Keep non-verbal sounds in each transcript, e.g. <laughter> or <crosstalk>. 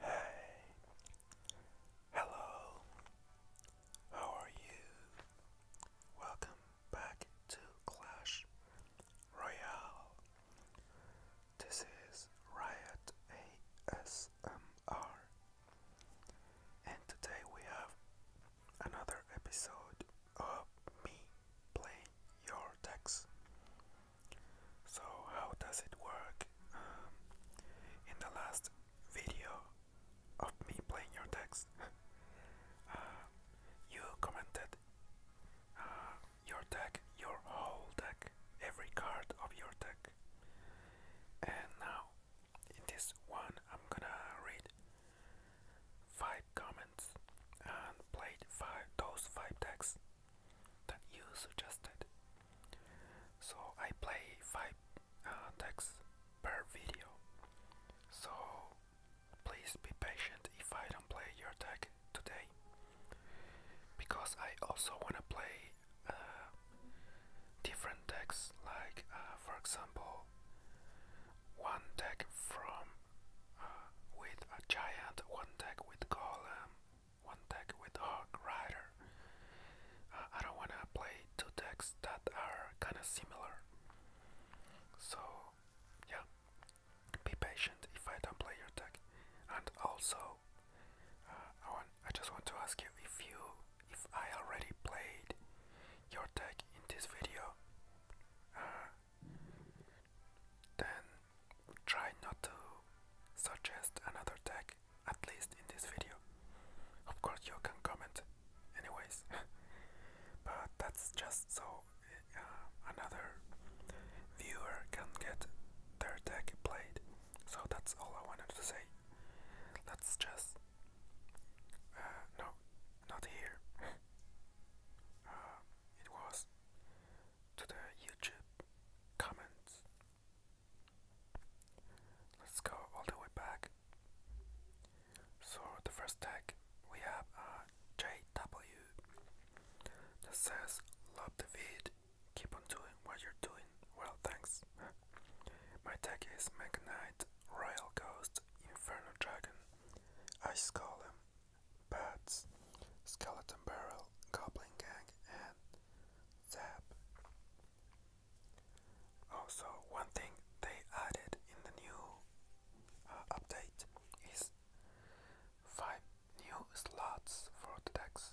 Hey, hello, how are you? Welcome back to Clash Royale. This is Riot ASMR, and today we have another episode of me playing your decks. So how does it work? Um, in the last video of me playing your decks, <laughs> uh, you commented uh, your deck, your whole deck, every card of your deck. And now, in this one, I'm gonna read five comments and play five those five decks that you suggested. So I play five uh, decks per video. So please be patient if I don't play your deck today, because I also wanna play uh, different decks, like uh, for example one deck from uh, with a giant, one deck with golem, one deck with hog rider. Uh, I don't wanna play two decks that are kinda similar. So yeah, be patient if I don't play your deck. And also, uh, I want I just want to ask you if you if I already played your deck in this video. Then try not to suggest another tag, at least in this video. Of course you can comment anyways, <laughs> but that's just so eh, uh, another viewer can get their tag played. So that's all I wanted to say. Let's just... Uh, no, not here. <laughs> Uh, it was to the YouTube comments. Let's go all the way back. So the first tag we have uh, that says love the vid, keep on doing what you're doing. Well thanks. <laughs> My tag is Magnite, Royal Ghost, Inferno Dragon, Ice Golem, Bats, Skeleton Barrel, Goblin Gang, and Zap. Also, one thing they added in the new uh, update is five new slots for decks.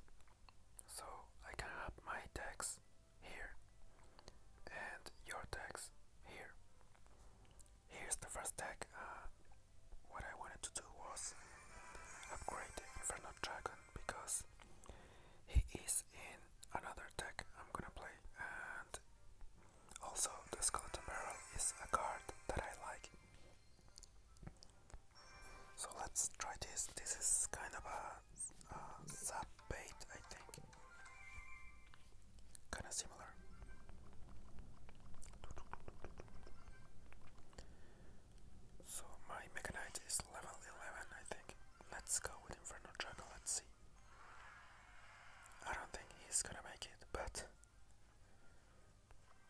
So I can have my decks here and your decks here. Here's the first deck. Uh, what I wanted to do was upgrade Inferno Dragon because he is in another deck I'm gonna play and also the Skeleton Barrel is a card that I like. So let's try this. This is kind of a sub bait I think. Kind of similar. So my Mega is level 11, I think. Let's go with Inferno Dragon, let's see. I don't think he's gonna make it, but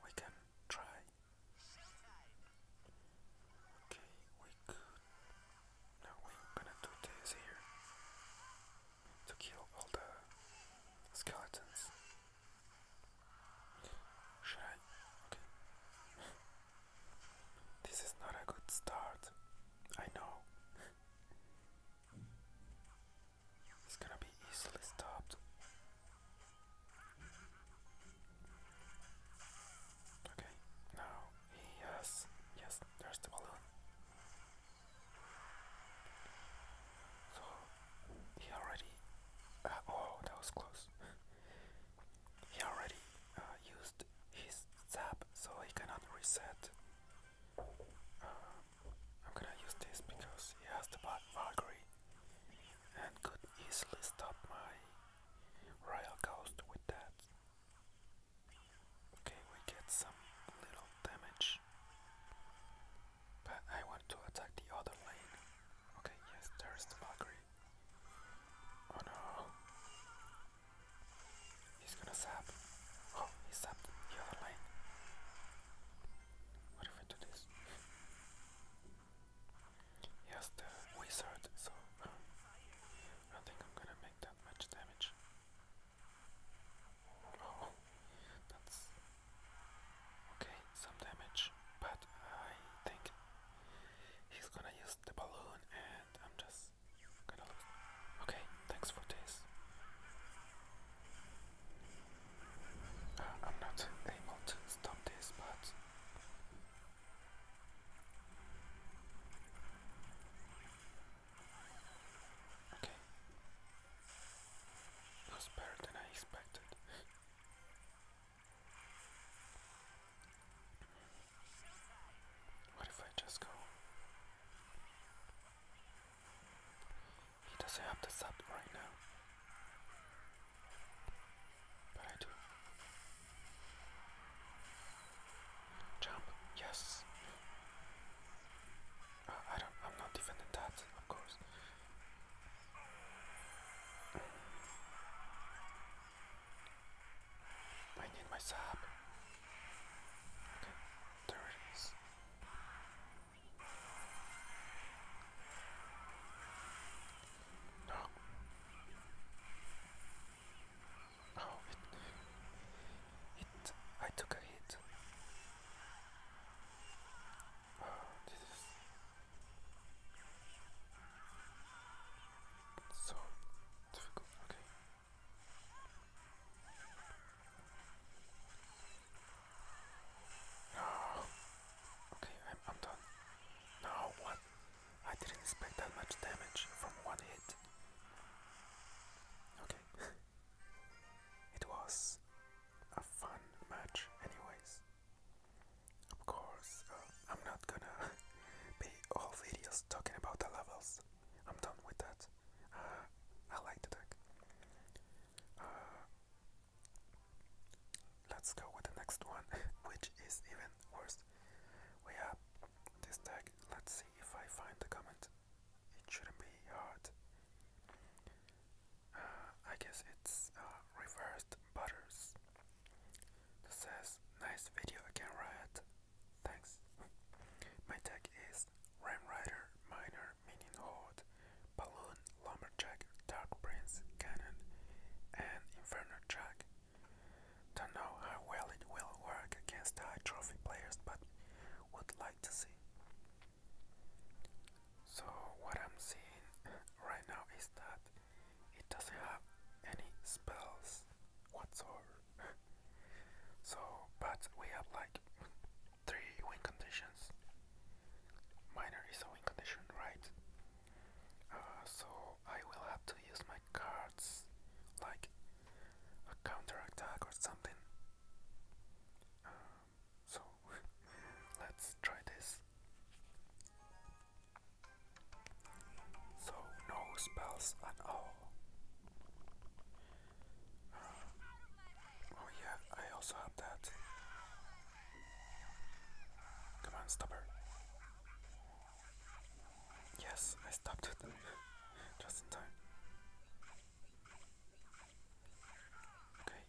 we can try. Okay, we could. Now we're gonna do this here to kill all the skeletons. Should I? Okay. <laughs> this is not a good start. I know. <laughs> it's gonna be easily stopped. Okay, now he Yes, there's the balloon. So he already. Uh, oh, that was close. he already uh, used his zap, so he cannot reset. Uh, I'm gonna use this because he has the Valkyrie and could easily stop my Royal Ghost with that. Okay, we get some little damage. But I want to attack the other lane. Okay, yes, there's the Valkyrie. Oh no. He's gonna sap. Oh, he sapped the other lane. What if I do this? He has the wizard, so I think I'm gonna make that much damage. Oh, that's okay, some damage, but I think he's gonna use the balloon and I'm just gonna lose. Okay, thanks for this. Uh, I'm not able to stop this, but. Okay. That's better than I expected. what if I just go? He doesn't have the sub right now. But I do. Jump, yes. I don't. I'm not defending that, of course. I need my sap. Okay, there it is. No. Oh, it, I took a hit. Oh, this is so difficult. Okay. No. <sighs> Okay, I'm done. No, what? I didn't expect that much damage from one hit. Okay. <laughs> It was a fun match, anyways. Of course, uh, I'm not gonna <laughs> be all videos talking about the levels. I'm done with that. Uh, I like the deck. Uh, let's go with the next one, <laughs> which is even worse. We have this deck. Let's see if I find the comment it shouldn't be hard. Uh, I guess it's uh, reversed butters. says, nice video again, Riot. Thanks. <laughs> My tag is Ram Rider, Miner, Minion Horde, Balloon, Lumberjack, Dark Prince, Cannon, and Inferno Jack. Don't know how well it will work against high trophy players, but would like to see. So what I'm seeing right now is that it doesn't have any spells whatsoever. <laughs> so but we have like three wind conditions. Minor is a win condition, right? Uh, so I will have to use my cards like a counterattack or something. Um, so <laughs> let's try this. So no spells at all. Um, oh yeah, I also have that. Come on, stop Yes, I stopped it just in time. Okay.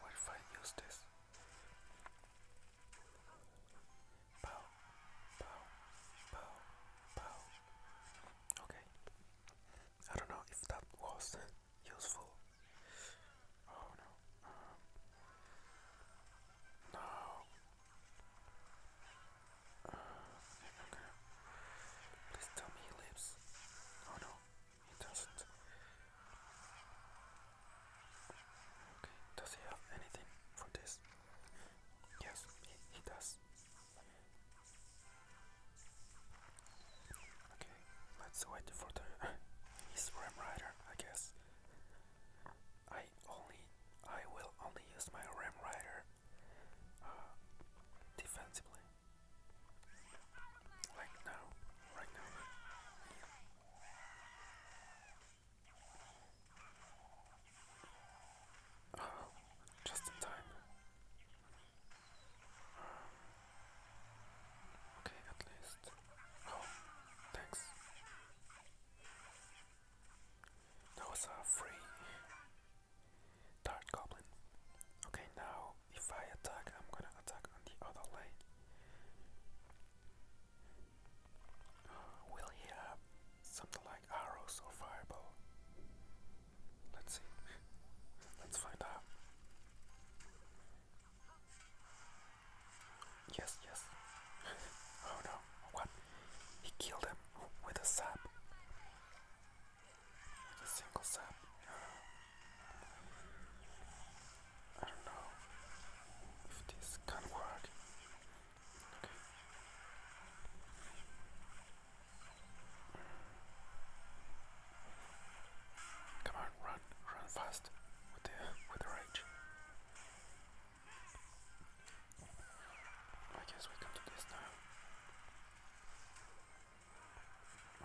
What if I use this? Pow, pow, pow, pow. Okay. I don't know if that was useful. Oh no. Um, no. Please tell me he lives. Oh no, he doesn't. Okay, does he have anything for this? Yes, he, does. Okay, let's wait for the. He's <laughs> Ram Rider, I guess. I only I will only use my Ram Rider uh, defensively. Like now, right now. Oh, just in time. okay, at least. Oh, thanks. Those are free Dark Goblin. Okay, now if I attack, I'm gonna attack on the other lane. will he have something like arrows or fireball? Let's see. <laughs> Let's find out. Yes, yes. oh no, what? He killed him with a sap. With a single sap. I don't know if this can work. Come on, run, run fast with the with rage. I guess we can do this now.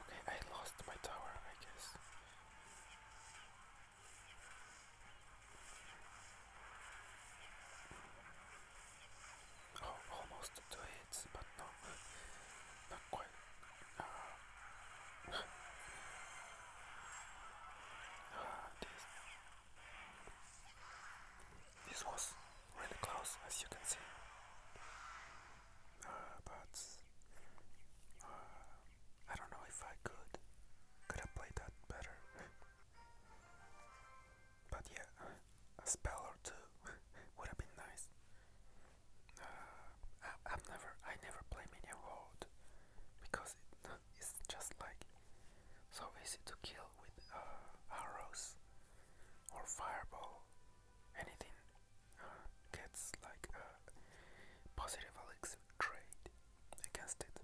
Okay, I lost my tower, I guess. Oh, almost two hits, but no, not quite. ah, <laughs> ah this this was really close, as you can see, uh, but uh, I don't know if I could could have played that better. <laughs> but yeah, a spell or two <laughs> would have been nice. Uh, I, have never, I never play Minion World because it's just like so easy to kill with uh, arrows or fireball. Anything uh, gets like a positive elixir trade against it.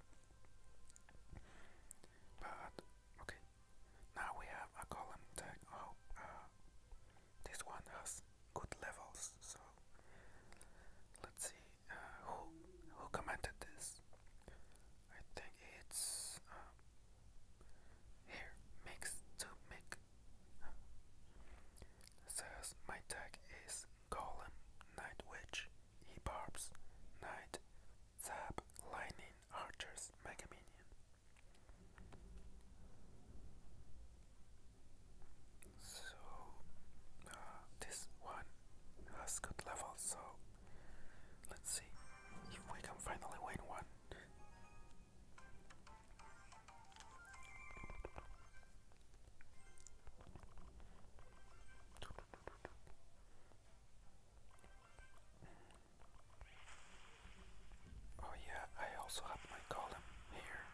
But okay, now we have a column tag. Oh, this one has good levels, so let's see who who commented this? I think it's um, here mix to make. says my tag is Golem, Night Witch, E Barbs, Knight, Zap, Lightning, Archers, Mega so uh, this one has good level, so let's see if we can finally win one. Oh yeah, I also have my column here.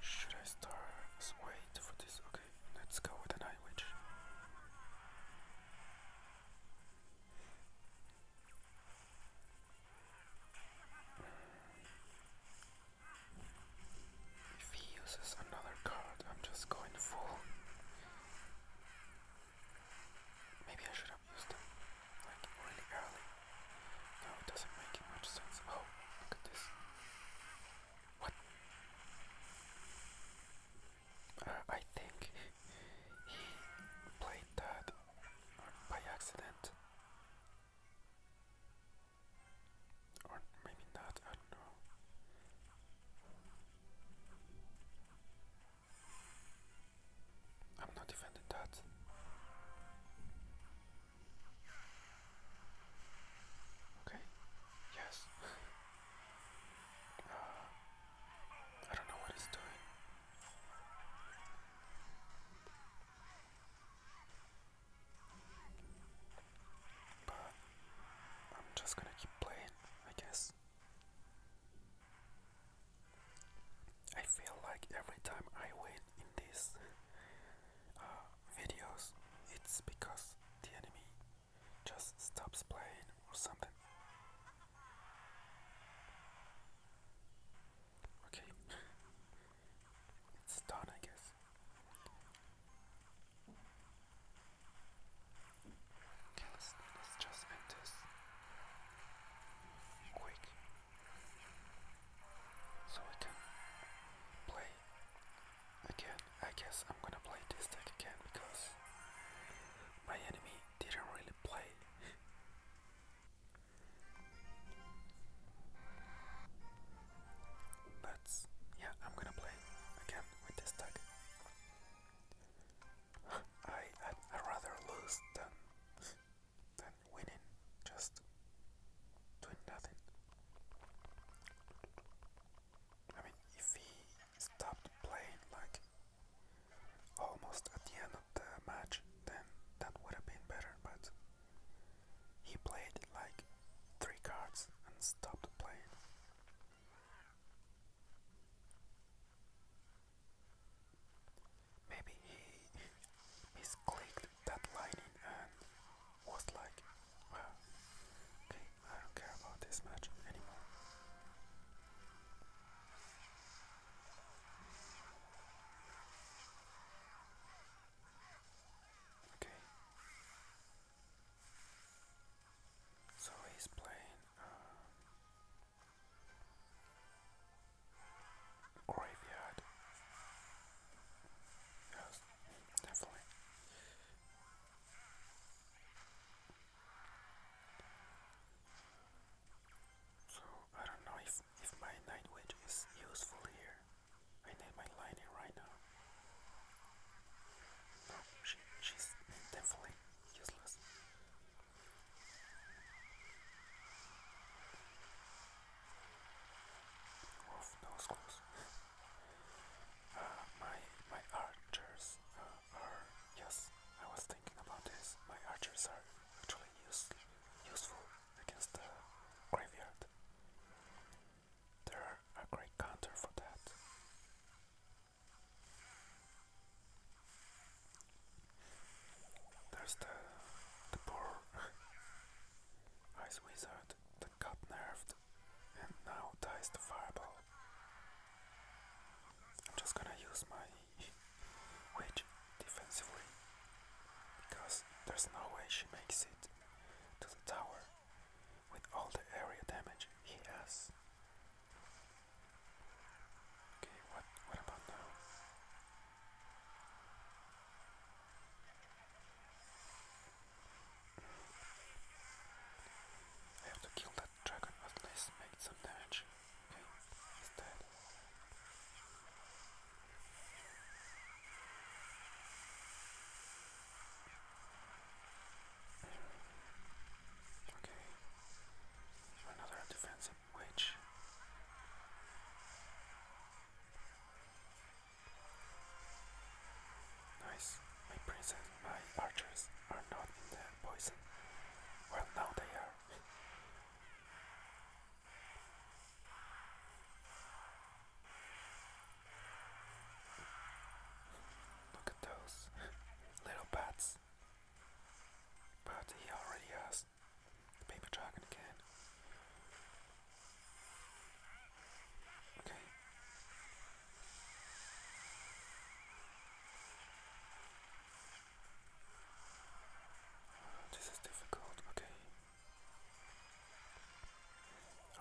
Should I start? Wait for this. Okay, let's go with the Night Witch. If he uses another card, I'm just going full. Maybe I should stop using them like really early. No, it doesn't make much sense. Oh, look at this. What? Uh, I think he played that by accident. Or maybe not, I don't know. I'm not defending that. Okay. Yes. <laughs> Uh, I don't know what he's doing. But I'm just gonna keep playing, I guess. I feel like every time I win in these uh, videos, it's because the enemy just stops playing or something. Okay, it's done, I guess. Okay, let's, let's just end this quick so I can play again. I guess I'm gonna play this deck again because my enemy didn't really play. That's yeah, I'm gonna play again with this deck. I I rather lose than than winning just doing nothing. I mean, if he stopped playing like almost at the end of the match, then that would have been better. But he played like three cards and stopped playing. Maybe he misclicked that lining and was like, okay, I don't care about this match anymore. Okay. So he's playing uh, Graveyard. Yes, definitely. So I don't know if, if my night witch is useful here. I need my lightning right now. No, she, she's definitely useless. Wolf nose close. Uh, my my archers uh, are yes. I was thinking about this. My archers are actually use, useful against the graveyard. They're a great counter for that. There's the, the poor <laughs> ice wizard that got nerfed and now dies to fireball. I'm just gonna use my <laughs> witch defensively because there's no way she makes it to the tower with all the area damage he has. Okay, what what about now? I have to kill that dragon, at least make some damage. Okay, he's dead. Okay, for another defensive witch. Nice. My princess, my archers are not in Well, now they are. <laughs> Look at those little bats. But he already has the paper dragon again. Okay. This is difficult, okay.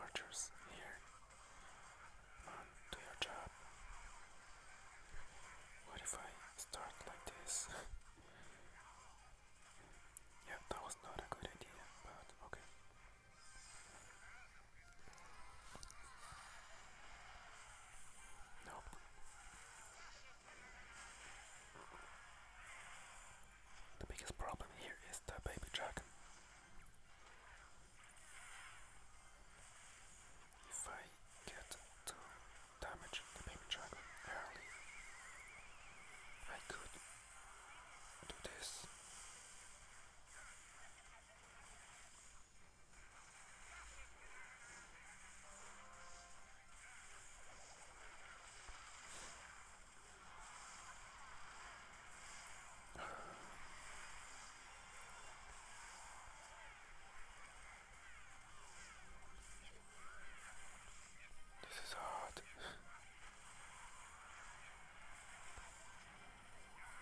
Archers here do your job. What if I start like this? <laughs> yeah, that was not a good idea, but okay. Nope. The biggest problem here is the baby dragon if I get to damage the baby dragon early, I could do this. This is hard.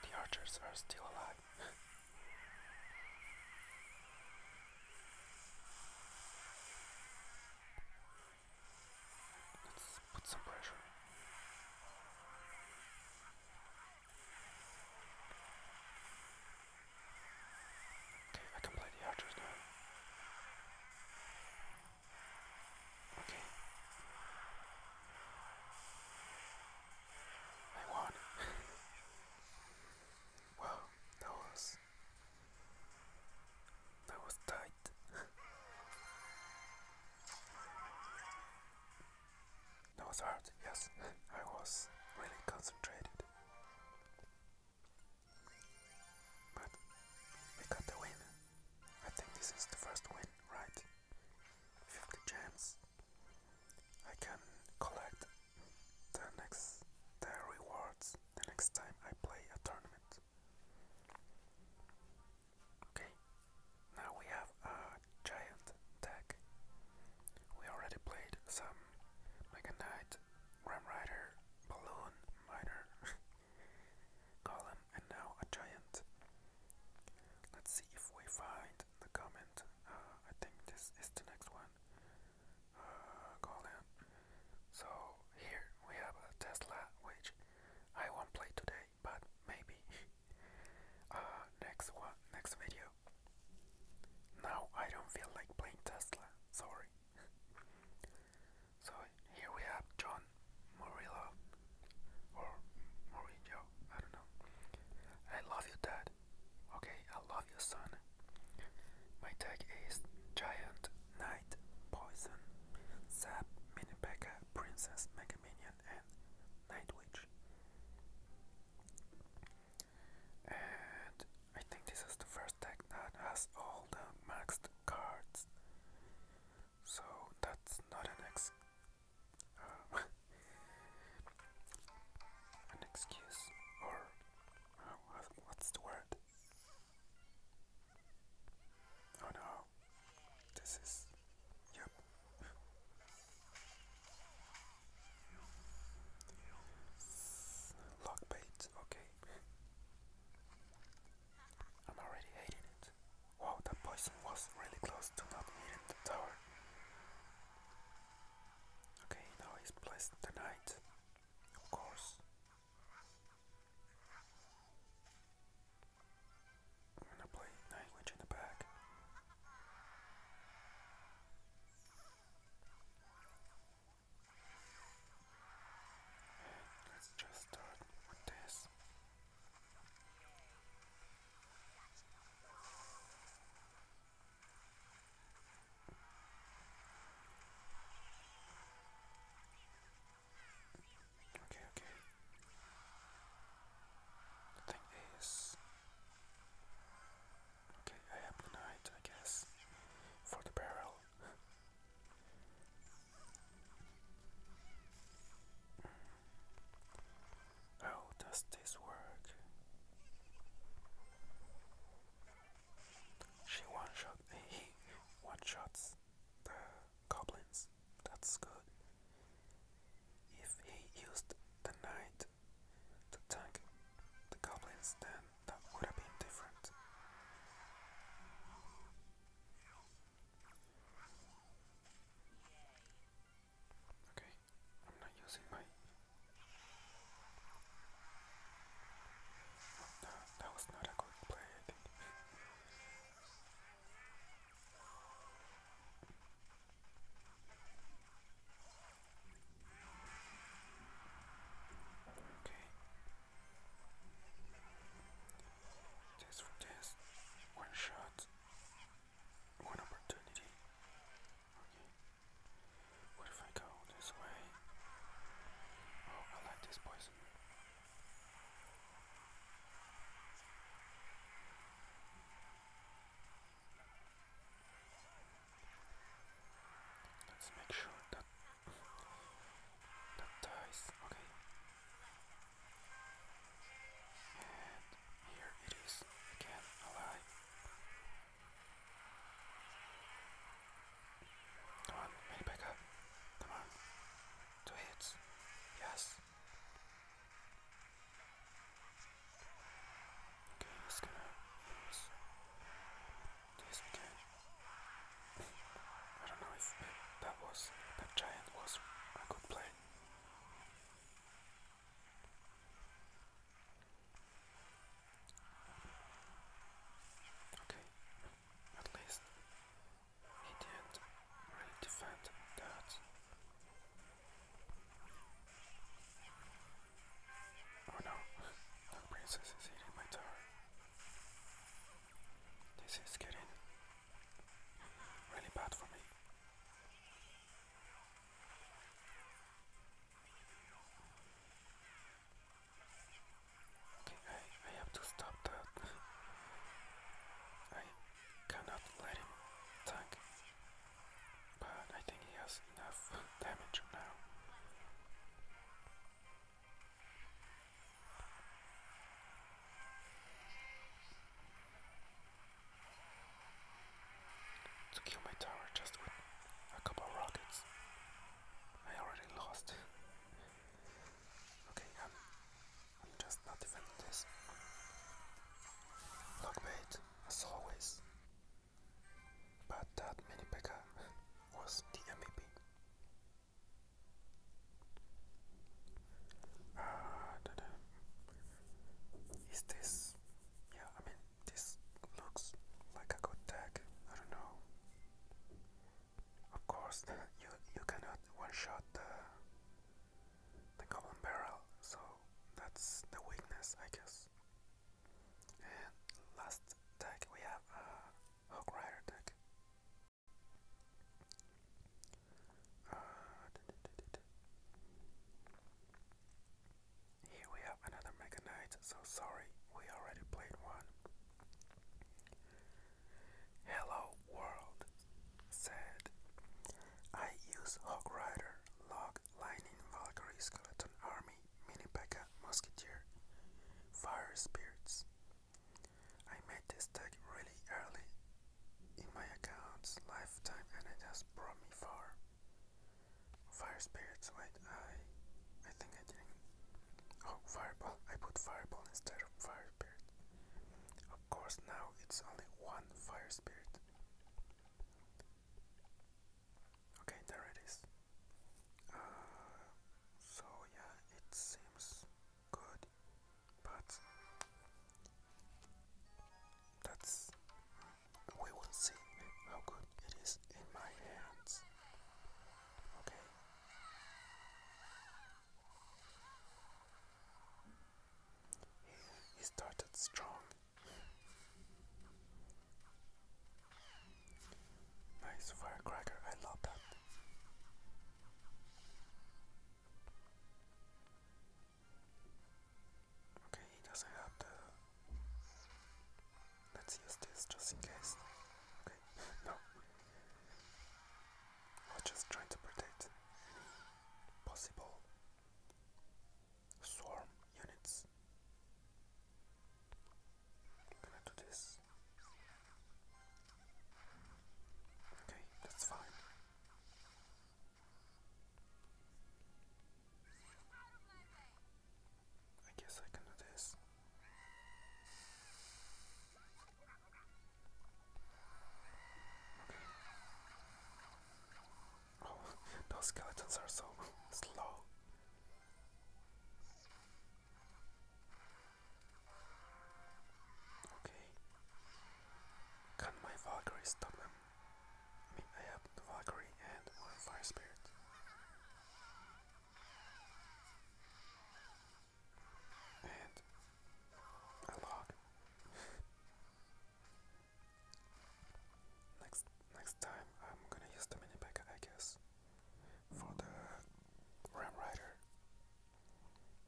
the archers are still alive. Let's put some pressure. Okay, I can play the outros now. Okay. I won. <laughs> wow, that was that was tight. <laughs> No, hard. yes, I was really concentrated. But we got the win. I think this is the first win, right? 50 gems. I can collect the next the rewards the next time I play a tournament. Okay, now we have a giant deck. We already played some Mega Knight, Grim Rider, Balloon, Miner, <laughs> Golem, and now a giant. Let's see if we find the comment. Uh, I think this is the next one. Uh, So here we have a Tesla, which I won't play today, but maybe. <laughs> Uh, next one, next video, now I don't feel like playing Tesla, sorry. so here we have John Murillo or Mourinho, I don't know. I love you dad. Okay, I love you son. My tag is Giant Knight Poison Sap Mini Princess Mega Minion and Night Witch. And I think this is the first deck that has all the maxed cards. So that's not an ex uh, <laughs> an excuse or what's the word? Oh no, this is Yep. Lock okay. I'm already hating it. Wow, that poison was really close to not hitting the tower. Okay, now he's placed the of course. I'm gonna play language in the back. let's just start with this. Okay, okay. The thing is, okay, I have the knight, I guess, for the barrel. How does this work? She one shot, he one shots the goblins. That's good. If he used the knight to tank the goblins, then that would have been different. Okay, I'm not using my. no, that was not a good play, Okay. Test for test. One shot. One opportunity. Okay. What if I go this way? Oh, I like this poison. Let's make sure that that dies. Okay. And here it is again alive. Come on, many back up. Come on. Two hits. Yes. Okay, just gonna use this again. I don't know if that was that giant was a good play. Okay, at least he didn't really defend that. Oh no, the princess is eating my tower. This is getting really bad for me. Okay, I, I have to stop that. I cannot let him tank. But I think he has enough <laughs> damage now. To kill my tower just with a couple rockets. I already lost. okay, I'm um, I'm just not defending this. Lockbait, as always. But that mini Pekka was the MVP. Uh, ah, da -da. Is this. Yeah, I mean, this looks like a good tag. I don't know. Of course, you, you cannot one shot the golden barrel, so that's the weakness, I guess. And last deck we have a Hawk Rider deck. Uh, here we have another Mega Knight, so sorry, we already played one. Hello World said, I use Hawk Rider, Log, Lightning, Valkyrie, Skeleton Army, Mini Musketeer, Fire Spirits. I made this deck really early in my account's lifetime and it has brought me far. Fire Spirits, wait, I, I think I didn't. Oh, Fireball, I put Fireball instead of Fire Spirit. Of course, now it's only one fire spirit. Okay, there it is. Uh, so yeah, it seems good, but that's we will see how good it is in my hands. Okay. He started strong. Nice firecracker, I love that. Okay, he have the. Let's use this just in case. Okay, <laughs> no. I'm just trying to protect any possible swarm units. i do this. Okay, that's fine. I guess I can do this. Oh, <laughs> those skeletons are so <laughs> slow. Okay. Can my Valkyrie stop them? I have the Valkyrie and one Fire Spirit and I log. <laughs> next next time I'm gonna use the mini pack I guess for the Ram Rider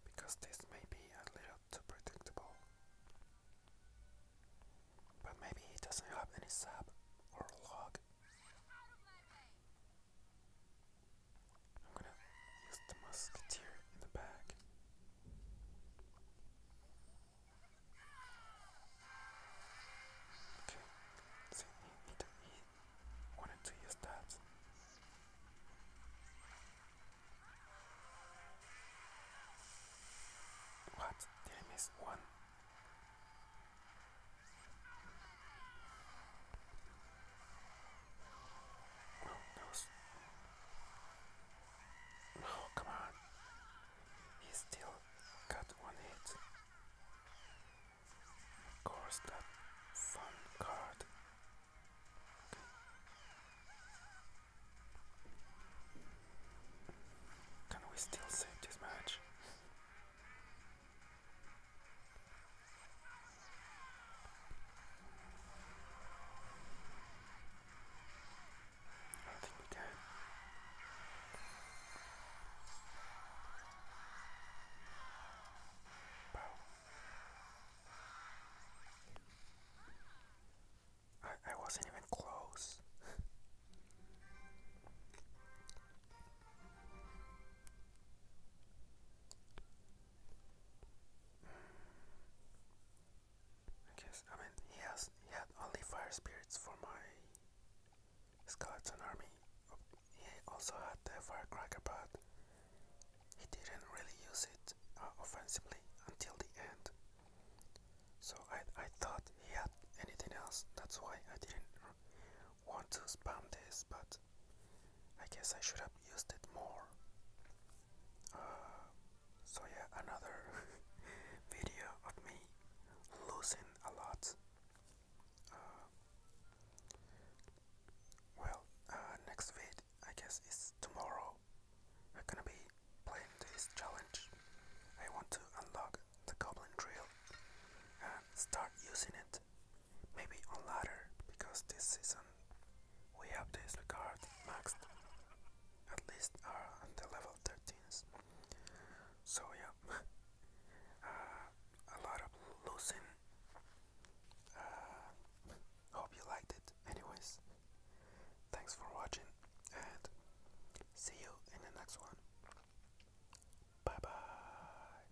because this may be a little too predictable. But maybe he doesn't have any sub or log. I'm gonna use the musketeer in the back. Okay, so he, he, he wanted to use that. What? Did one? Oh, come on. He still got one hit. Of course, that fun card. Can we still save this match? I think we can. I wasn't even close. I guess I mean he has he had only fire spirits for my skeleton army. He also had the firecracker, but he didn't really use it uh, offensively until the end. So I I thought he had anything else. That's why I didn't want to spam this, but I guess I should have used it more. Uh, so yeah, another <laughs> video of me losing a lot. Uh, well, uh, next vid I guess is tomorrow. I'm gonna be playing this challenge. I want to unlock the goblin drill and start using it maybe on ladder because this season we have this regard maxed at least are uh, on the level 13s so yeah <laughs> uh, a lot of losing uh, hope you liked it anyways thanks for watching and see you in the next one bye bye